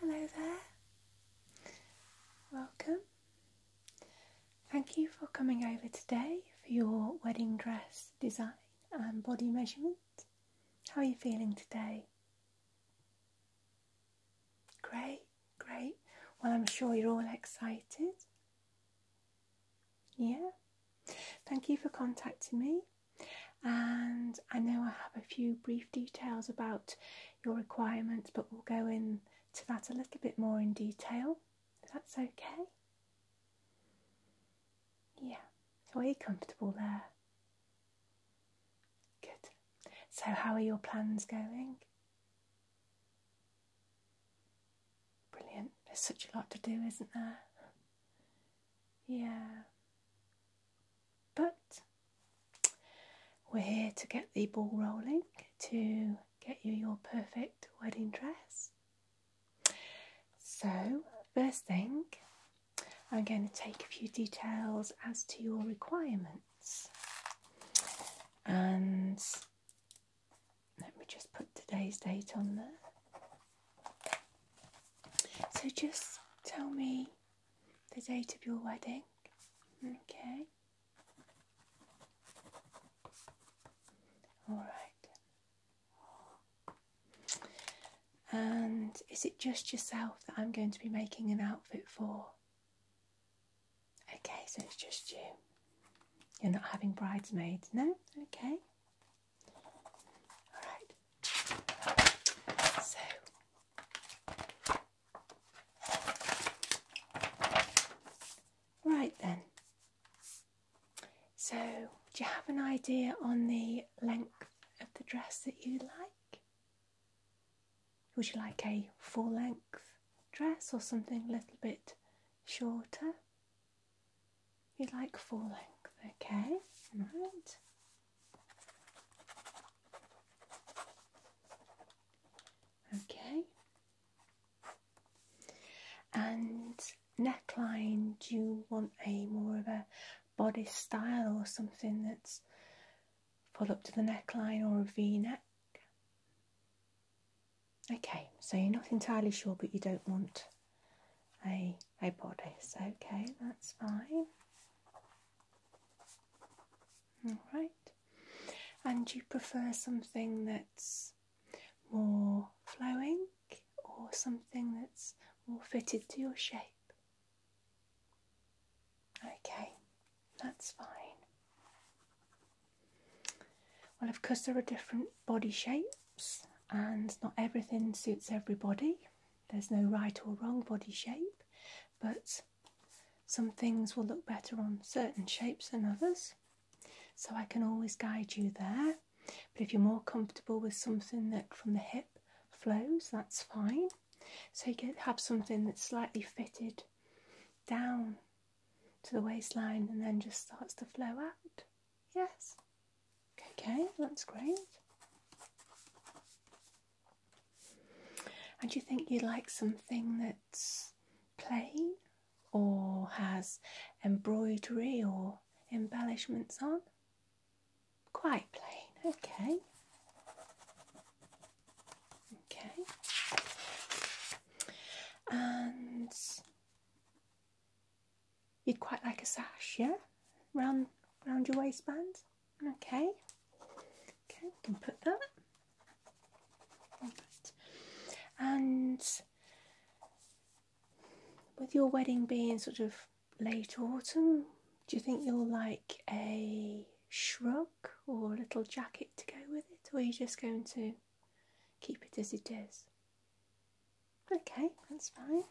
Hello there. Welcome. Thank you for coming over today for your wedding dress design and body measurement. How are you feeling today? Great, great. Well, I'm sure you're all excited. Yeah? Thank you for contacting me. And I know I have a few brief details about your requirements, but we'll go into that a little bit more in detail. that's okay. Yeah, so are you comfortable there? Good. So, how are your plans going? Brilliant. There's such a lot to do, isn't there? Yeah. But we're here to get the ball rolling to get you your perfect wedding dress. So, first thing, I'm going to take a few details as to your requirements. And let me just put today's date on there. So, just tell me the date of your wedding. Okay. All right. And is it just yourself that I'm going to be making an outfit for? Okay, so it's just you. You're not having bridesmaids, no? Okay. Alright. So. Right then. So, do you have an idea on the length of the dress that you would like? Would you like a full length dress or something a little bit shorter? you like full length, okay? Right. Okay. And neckline? Do you want a more of a bodice style or something that's full up to the neckline or a v-neck? Okay, so you're not entirely sure, but you don't want a a bodice. Okay, that's fine. All right, and you prefer something that's more flowing or something that's more fitted to your shape. Okay, that's fine. Well, of course, there are different body shapes, and not everything suits everybody. There's no right or wrong body shape, but some things will look better on certain shapes than others. So I can always guide you there. But if you're more comfortable with something that from the hip flows, that's fine. So you can have something that's slightly fitted down to the waistline and then just starts to flow out. Yes. Okay, that's great. And do you think you'd like something that's plain or has embroidery or embellishments on? Quite plain, okay. Okay. And you'd quite like a sash, yeah? Round round your waistband. Okay. Okay, we can put that. And with your wedding being sort of late autumn, do you think you'll like a shrug or a little jacket to go with it, or are you just going to keep it as it is? Okay, that's fine.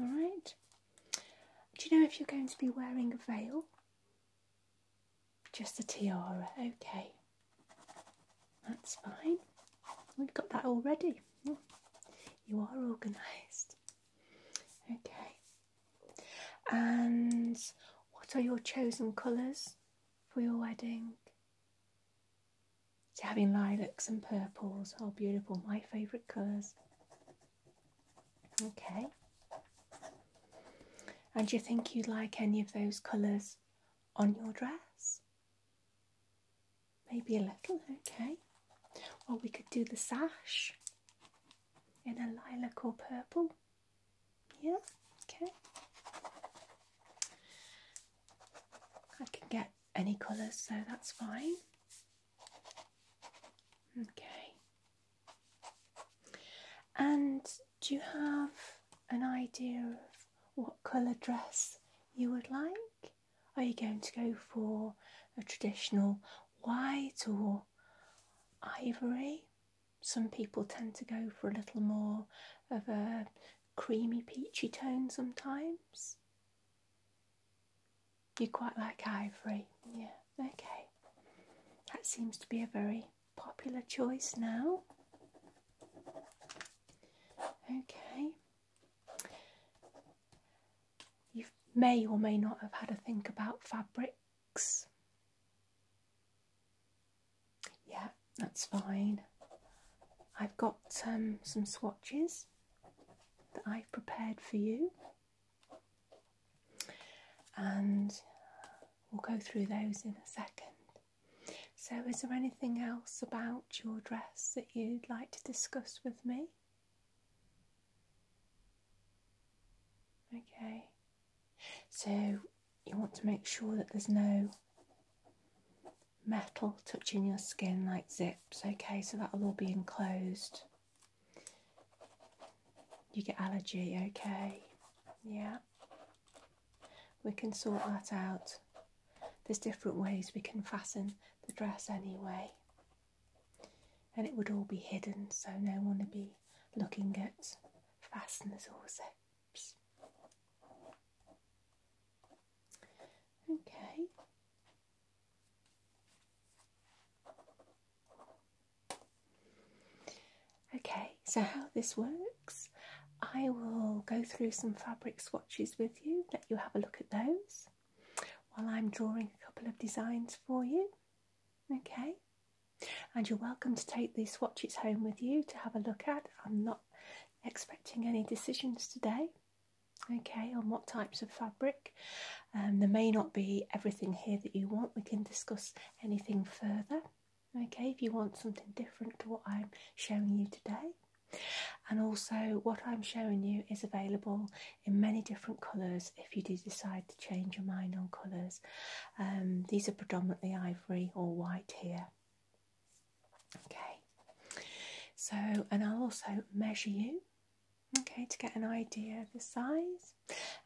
Alright. Do you know if you're going to be wearing a veil? Just a tiara, okay. That's fine. We've got that already. You are organised. Okay. And what are your chosen colours for your wedding? So having lilacs and purples are oh, beautiful, my favourite colours. Okay. And do you think you'd like any of those colours on your dress? Maybe a little, okay. Or we could do the sash in a lilac or purple. Yeah, okay. I can get any colours, so that's fine. Okay. And do you have an idea of what colour dress you would like. Are you going to go for a traditional white or ivory? Some people tend to go for a little more of a creamy peachy tone sometimes. You quite like ivory, yeah, okay. That seems to be a very popular choice now. Okay. You may or may not have had a think about fabrics. Yeah, that's fine. I've got um, some swatches that I've prepared for you, and we'll go through those in a second. So, is there anything else about your dress that you'd like to discuss with me? Okay, so you want to make sure that there's no metal touching your skin like zips, okay, so that'll all be enclosed. You get allergy, okay, yeah, we can sort that out. There's different ways we can fasten the dress anyway, and it would all be hidden, so no one would be looking at fasteners or zips. Okay. Okay, so how this works I will go through some fabric swatches with you, let you have a look at those while I'm drawing a couple of designs for you. Okay, and you're welcome to take these swatches home with you to have a look at. I'm not expecting any decisions today. Okay, on what types of fabric. Um, there may not be everything here that you want. We can discuss anything further. Okay, if you want something different to what I'm showing you today. And also, what I'm showing you is available in many different colours if you do decide to change your mind on colours. Um, these are predominantly ivory or white here. Okay, so and I'll also measure you, okay, to get an idea of the size,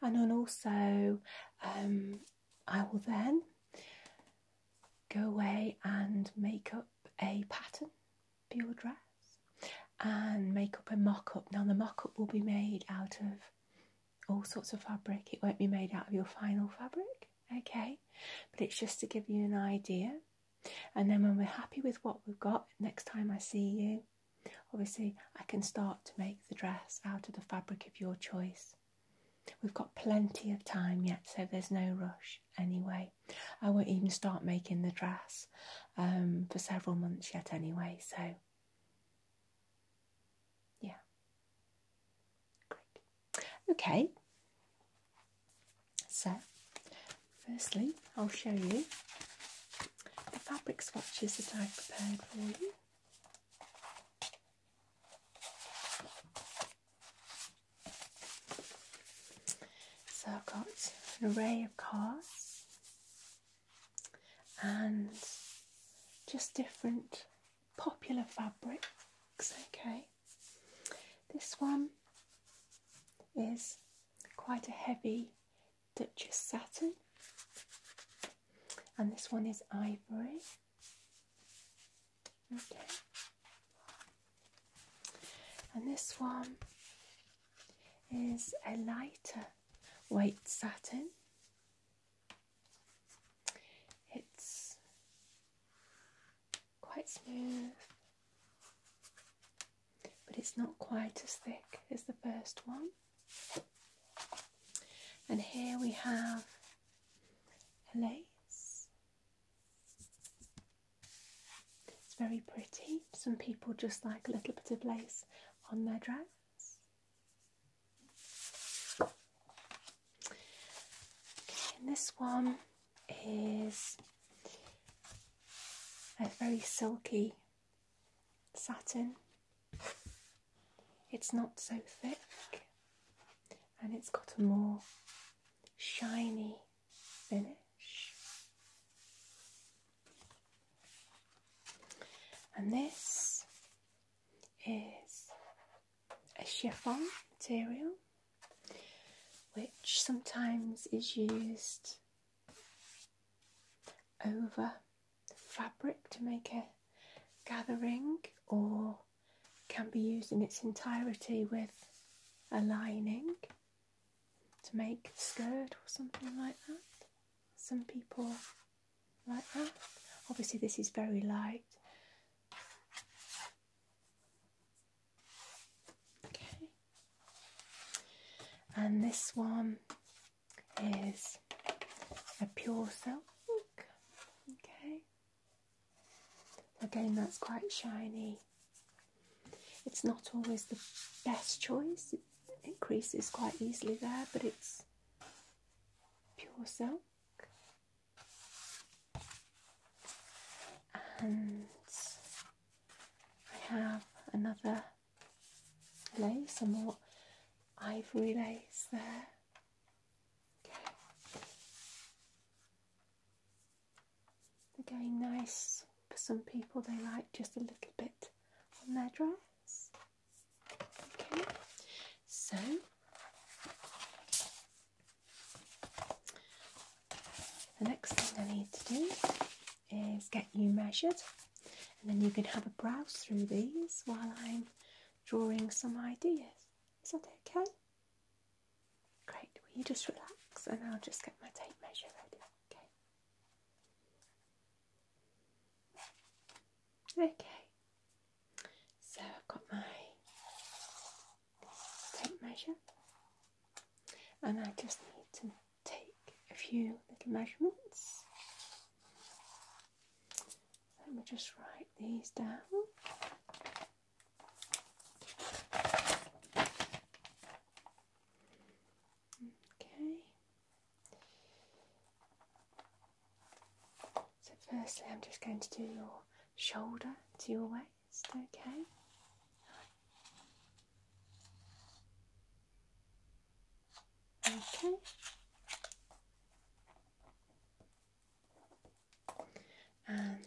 and then also um, I will then go away and make up a pattern for your dress and make up a mock up. Now, the mock up will be made out of all sorts of fabric, it won't be made out of your final fabric, okay? But it's just to give you an idea. And then, when we're happy with what we've got, next time I see you, obviously, I can start to make the dress out of the fabric of your choice. We've got plenty of time yet, so there's no rush anyway. I won't even start making the dress um, for several months yet, anyway, so yeah. Okay, so firstly, I'll show you the fabric swatches that I've prepared for you. So I've got an array of cards and just different popular fabrics, okay. This one is quite a heavy Duchess satin, and this one is ivory. And this one is a lighter weight satin. It's quite smooth, but it's not quite as thick as the first one. And here we have a lace it's very pretty. Some people just like a little bit of lace on their dress. and this one is a very silky satin. It's not so thick and it's got a more shiny finish. And this is a chiffon material which sometimes is used over the fabric to make a gathering or can be used in its entirety with a lining to make a skirt or something like that. Some people like that. Obviously, this is very light. Okay. And this one is a pure silk. Okay. Again, that's quite shiny. It's not always the best choice, it creases quite easily there, but it's pure silk. And I have another lace, a more ivory lace there. Okay. Again, nice. For some people, they like just a little bit on their dress. Okay, so the next thing I need to do is get you measured, and then you can have a browse through these while I'm drawing some ideas. Is that okay? Great, Will you just relax and I'll just get my tape measure ready, okay? Okay, so I've got my tape measure and I just need to take a few little measurements let me just write these down. Okay. So, firstly, I'm just going to do your shoulder to your waist, okay? Okay and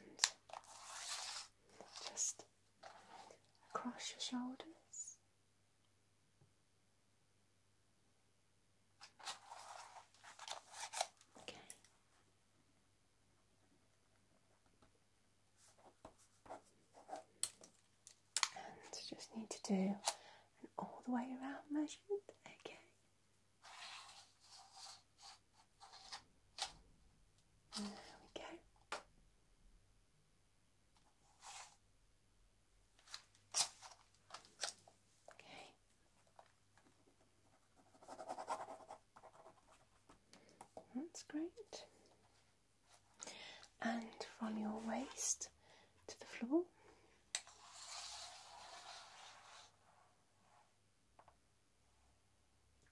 just across your shoulders. Okay. And just need to do an all the way around measurement. Okay. There we go. Okay. That's great. And from your waist to the floor.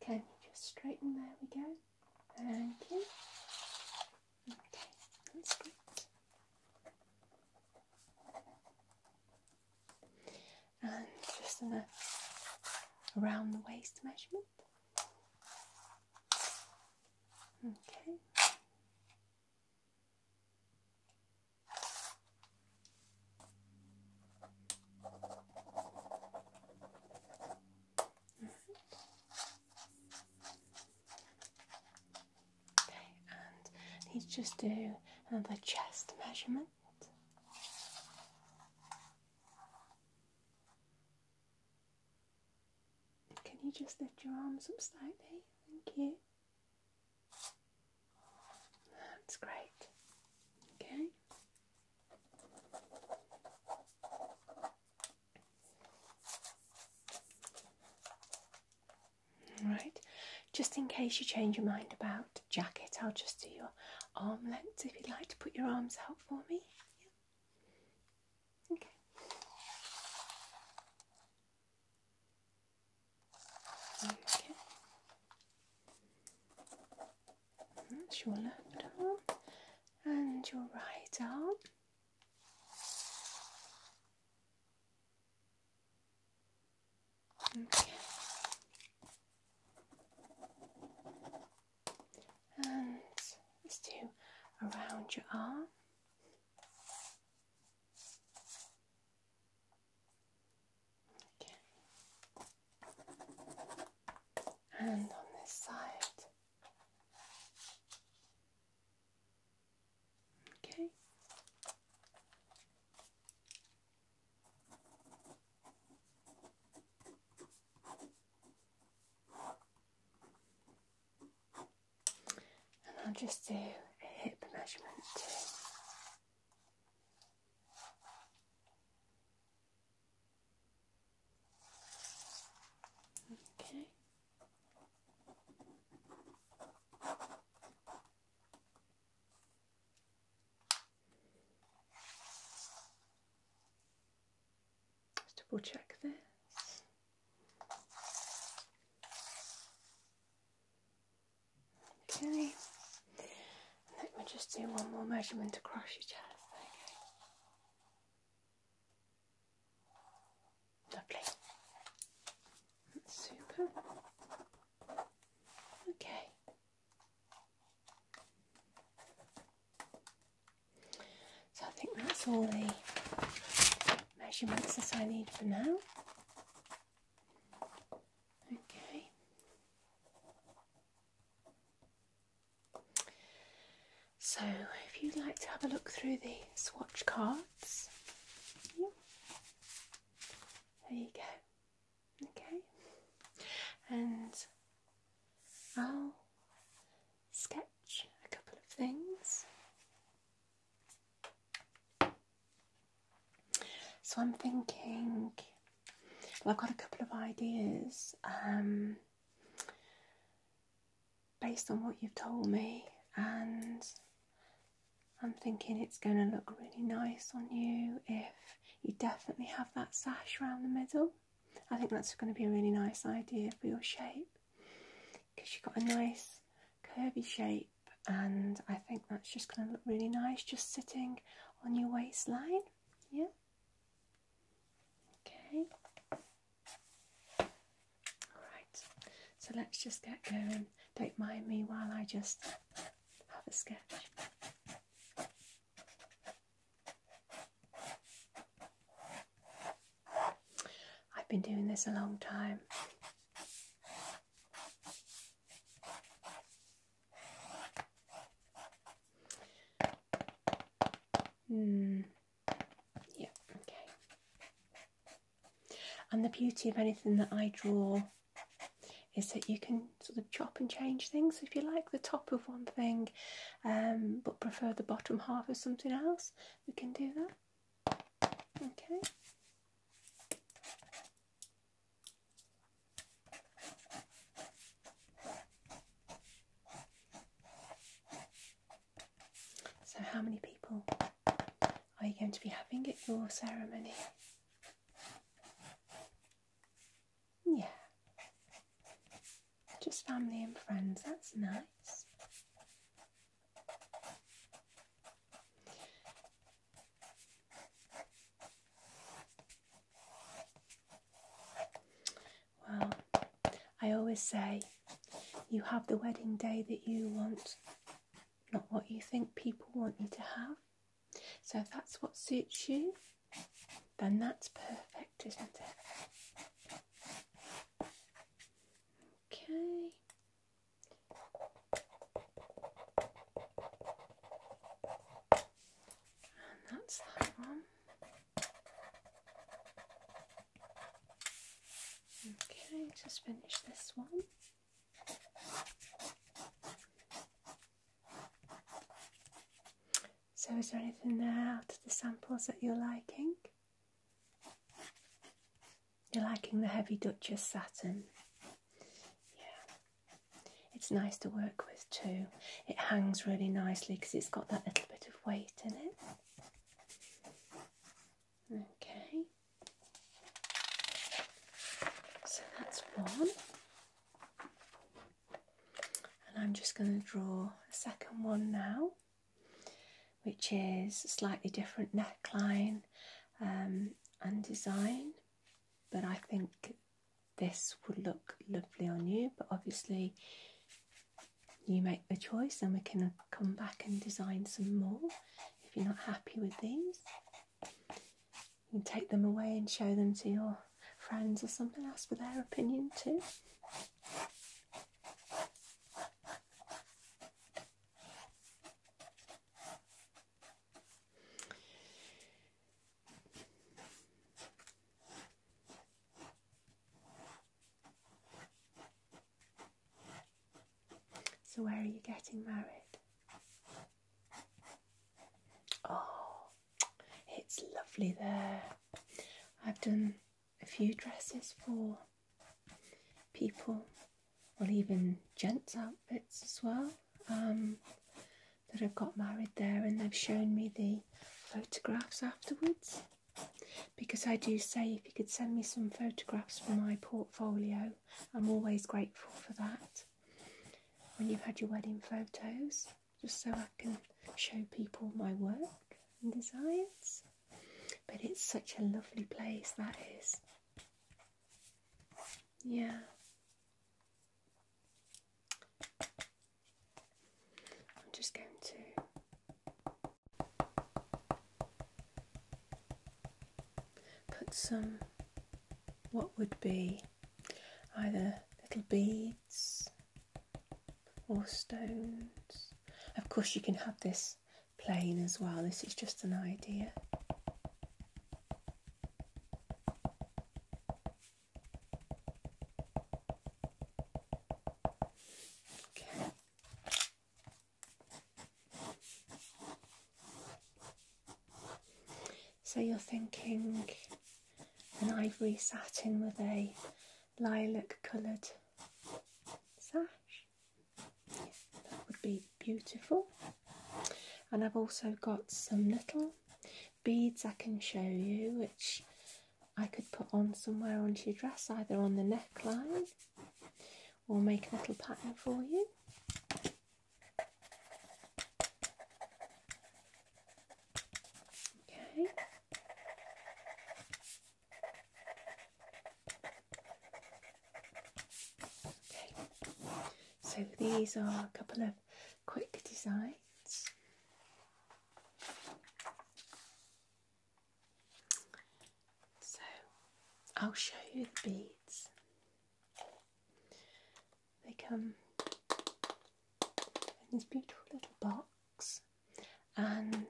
Can you just straighten? There we go. Thank you. Okay, that's good. And just in around the waist measurement. Okay. Okay, and let's just do another chest measurement. Can you just lift your arms up slightly? Thank you. That's great. Okay. Right, just in case you change your mind about jacket, I'll just do your arm length if you'd like to put your arms out for me. Yeah. Okay. That's your left arm and your right arm. Okay. And let's do around your arm. Okay. And on this side. Okay and I'll just do a hip measurement too. Okay. double check this. Okay. And let me just do one more measurement across your chest. Okay. Lovely. super. Okay. So I think that's all the measurements that I need for now. Okay. So, if you'd like to have a look through the swatch cards, there you go. Okay, and I'll sketch a couple of things so I'm thinking, I've got a couple of ideas um, based on what you've told me, and I'm thinking it's going to look really nice on you if you definitely have that sash around the middle. I think that's going to be a really nice idea for your shape because you've got a nice curvy shape and I think that's just going to look really nice just sitting on your waistline. Yeah. Okay. Alright, so let's just get going. Don't mind me while I just have a sketch. I've been doing this a long time. Hmm. Yeah, okay. And the beauty of anything that I draw is that you can sort of chop and change things if you like the top of one thing um, but prefer the bottom half of something else, we can do that. Okay. So, how many people are you going to be having at your ceremony? Yeah, just family and friends, that's nice. Well, I always say you have the wedding day that you want, not what you think people want you to have. So if that's what suits you, then that's perfect, isn't it? Okay. And that's that one. Okay, just finish this one. So, is there anything there to the samples that you're liking? You're liking the heavy Duchess satin. Yeah, it's nice to work with too. It hangs really nicely because it's got that little bit of weight in it. Okay, so that's one. And I'm just going to draw a second one now which is slightly different neckline um, and design. But I think this would look lovely on you, but obviously you make the choice and we can come back and design some more if you're not happy with these. You can take them away and show them to your friends or something else for their opinion too. So, where are you getting married? Oh, it's lovely there. I've done a few dresses for people or even gents' outfits as well um, that have got married there and they've shown me the photographs afterwards because I do say if you could send me some photographs for my portfolio, I'm always grateful for that. When you've had your wedding photos, just so I can show people my work and designs. But it's such a lovely place that is. Yeah. I'm just going to put some what would be either little beads or stones. Of course, you can have this plain as well. This is just an idea. So you're thinking an ivory satin with a lilac coloured sash. That would be beautiful. And I've also got some little beads I can show you, which I could put on somewhere onto your dress, either on the neckline or make a little pattern for you. Okay so these are a couple of quick designs. So I'll show you the beads. They come in this beautiful little box, and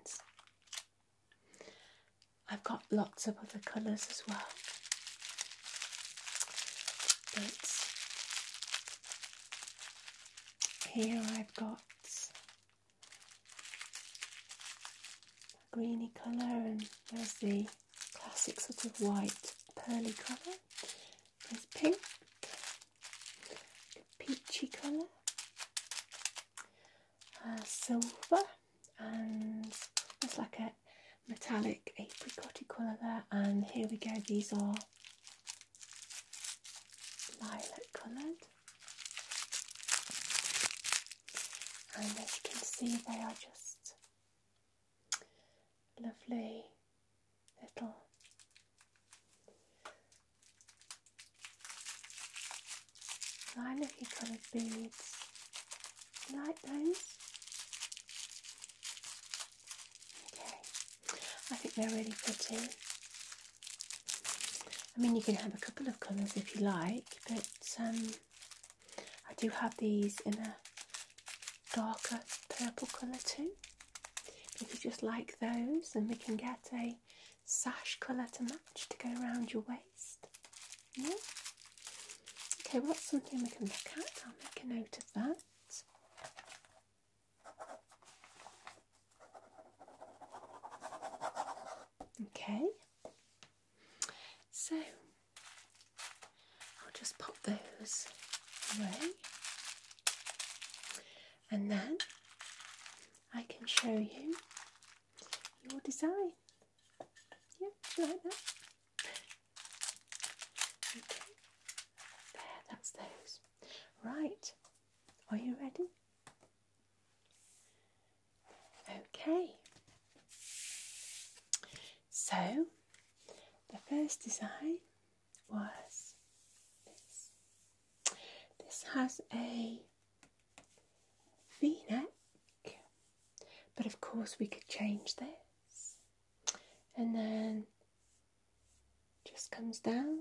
I've got lots of other colours as well. here I've got a greeny colour and there's the classic sort of white pearly colour. There's pink, a peachy colour, uh, silver and it's like a metallic apricotty colour there and here we go these are lilac coloured and as you can see they are just lovely little I look at coloured beads. like those? Okay. I think they're really pretty. I mean, you can have a couple of colours if you like, but um, I do have these in a darker purple colour too. If you just like those, then we can get a sash colour to match to go around your waist. Yeah. Okay, what's something we can look at. I'll make a note of that. Okay, so I'll just pop those away and then I can show you your design. Yeah, like that? Okay. There, that's those. Right, are you ready? Okay. So, the first design was this. This has a v-neck but of course we could change this and then just comes down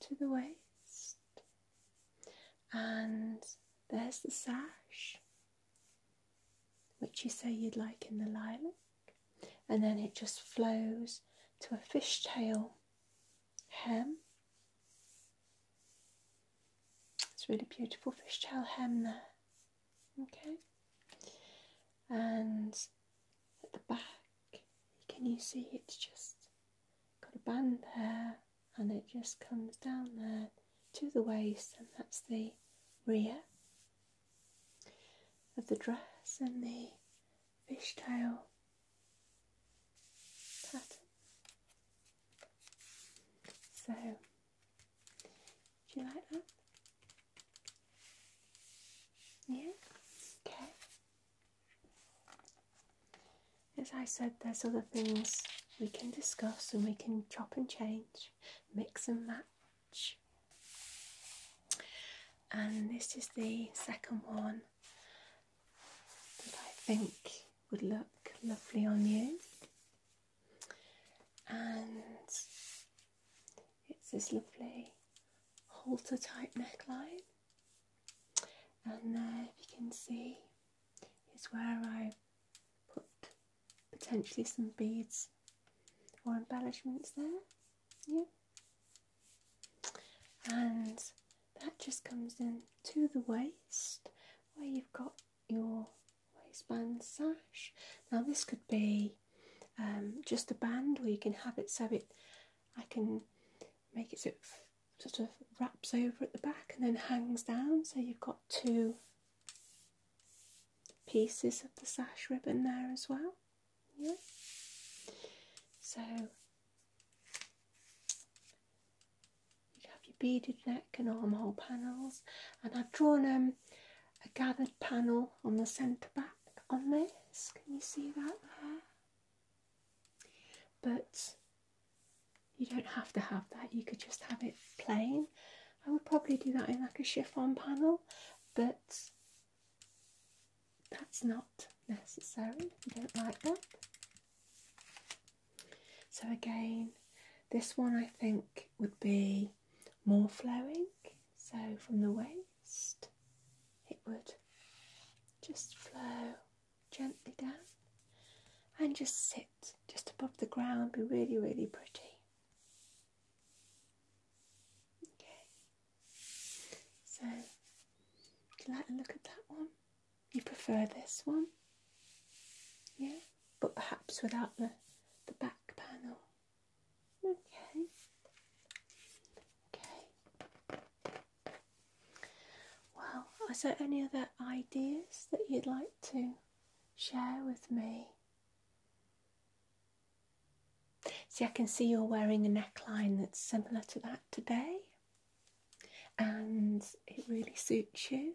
to the waist and there's the sash which you say you'd like in the lilac and then it just flows to a fishtail hem. It's really beautiful fishtail hem there. Okay, and at the back, can you see it's just got a band there, and it just comes down there to the waist, and that's the rear of the dress and the fishtail pattern. So, do you like that? Yeah? Okay. As I said, there's other things we can discuss and we can chop and change, mix and match. And this is the second one that I think would look lovely on you. And it's this lovely halter type neckline. And there, if you can see, is where I put potentially some beads or embellishments there. Yeah. And that just comes in to the waist where you've got your waistband sash. Now this could be um, just a band or you can have it so it I can make it so sort of wraps over at the back and then hangs down so you've got two pieces of the sash ribbon there as well. Yeah. So you have your beaded neck and armhole panels and I've drawn um, a gathered panel on the centre back on this. Can you see that there? But you don't have to have that, you could just have it plain. I would probably do that in like a chiffon panel but that's not necessary. I don't like that. So again, this one I think would be more flowing. So from the waist, it would just flow gently down and just sit just above the ground, be really, really pretty. Okay, so like the look of that one? You prefer this one? Yeah, but perhaps without the, the back panel. Okay. Okay. Well, are there any other ideas that you'd like to share with me? See, I can see you're wearing a neckline that's similar to that today and it really suits you.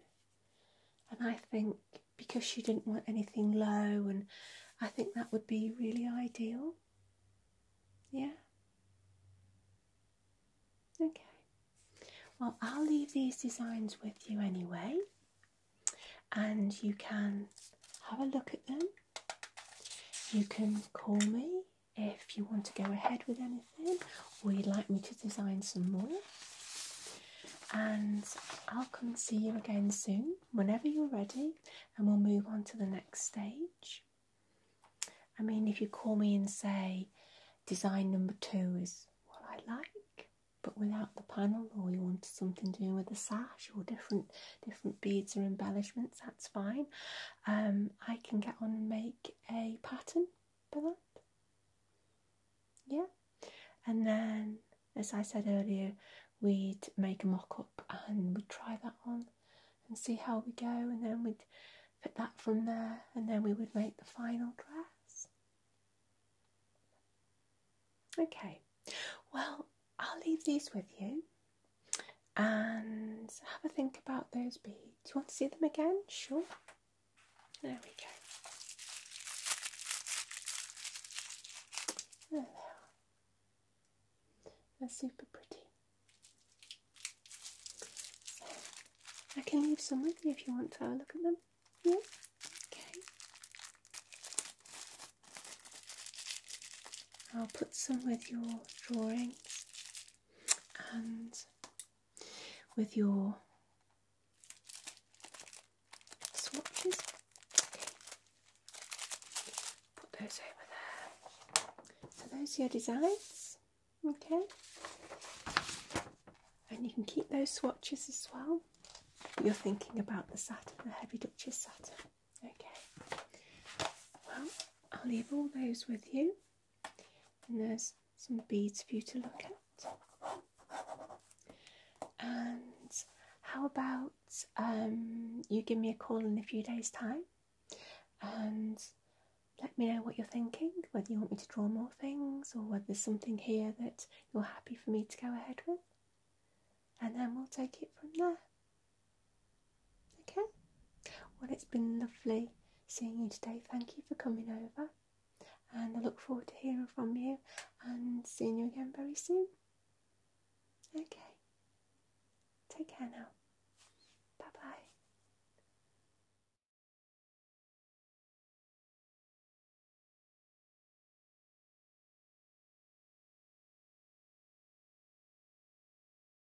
And I think because she didn't want anything low, and I think that would be really ideal. Yeah. Okay. Well, I'll leave these designs with you anyway, and you can have a look at them. You can call me if you want to go ahead with anything or you'd like me to design some more. And I'll come see you again soon whenever you're ready, and we'll move on to the next stage. I mean, if you call me and say design number two is what I like, but without the panel, or you want something doing with a sash or different different beads or embellishments, that's fine. Um, I can get on and make a pattern for that. Yeah, and then as I said earlier, we'd make a mock up and we'd try that on and see how we go, and then we'd fit that from there, and then we would make the final dress. Okay, well, I'll leave these with you and have a think about those beads. Do you want to see them again? Sure. There we go. There they are. They're super pretty. I can leave some with you if you want to have a look at them. Yeah? Okay. I'll put some with your drawings and with your swatches. Put those over there. So those are your designs. Okay. And you can keep those swatches as well. You're thinking about the Saturn, the Heavy Duchess Saturn. Okay. Well, I'll leave all those with you. And there's some beads for you to look at. And how about um, you give me a call in a few days' time and let me know what you're thinking, whether you want me to draw more things or whether there's something here that you're happy for me to go ahead with. And then we'll take it from there. Okay, well, it's been lovely seeing you today. Thank you for coming over, and I look forward to hearing from you and seeing you again very soon. Okay, take care now. Bye bye.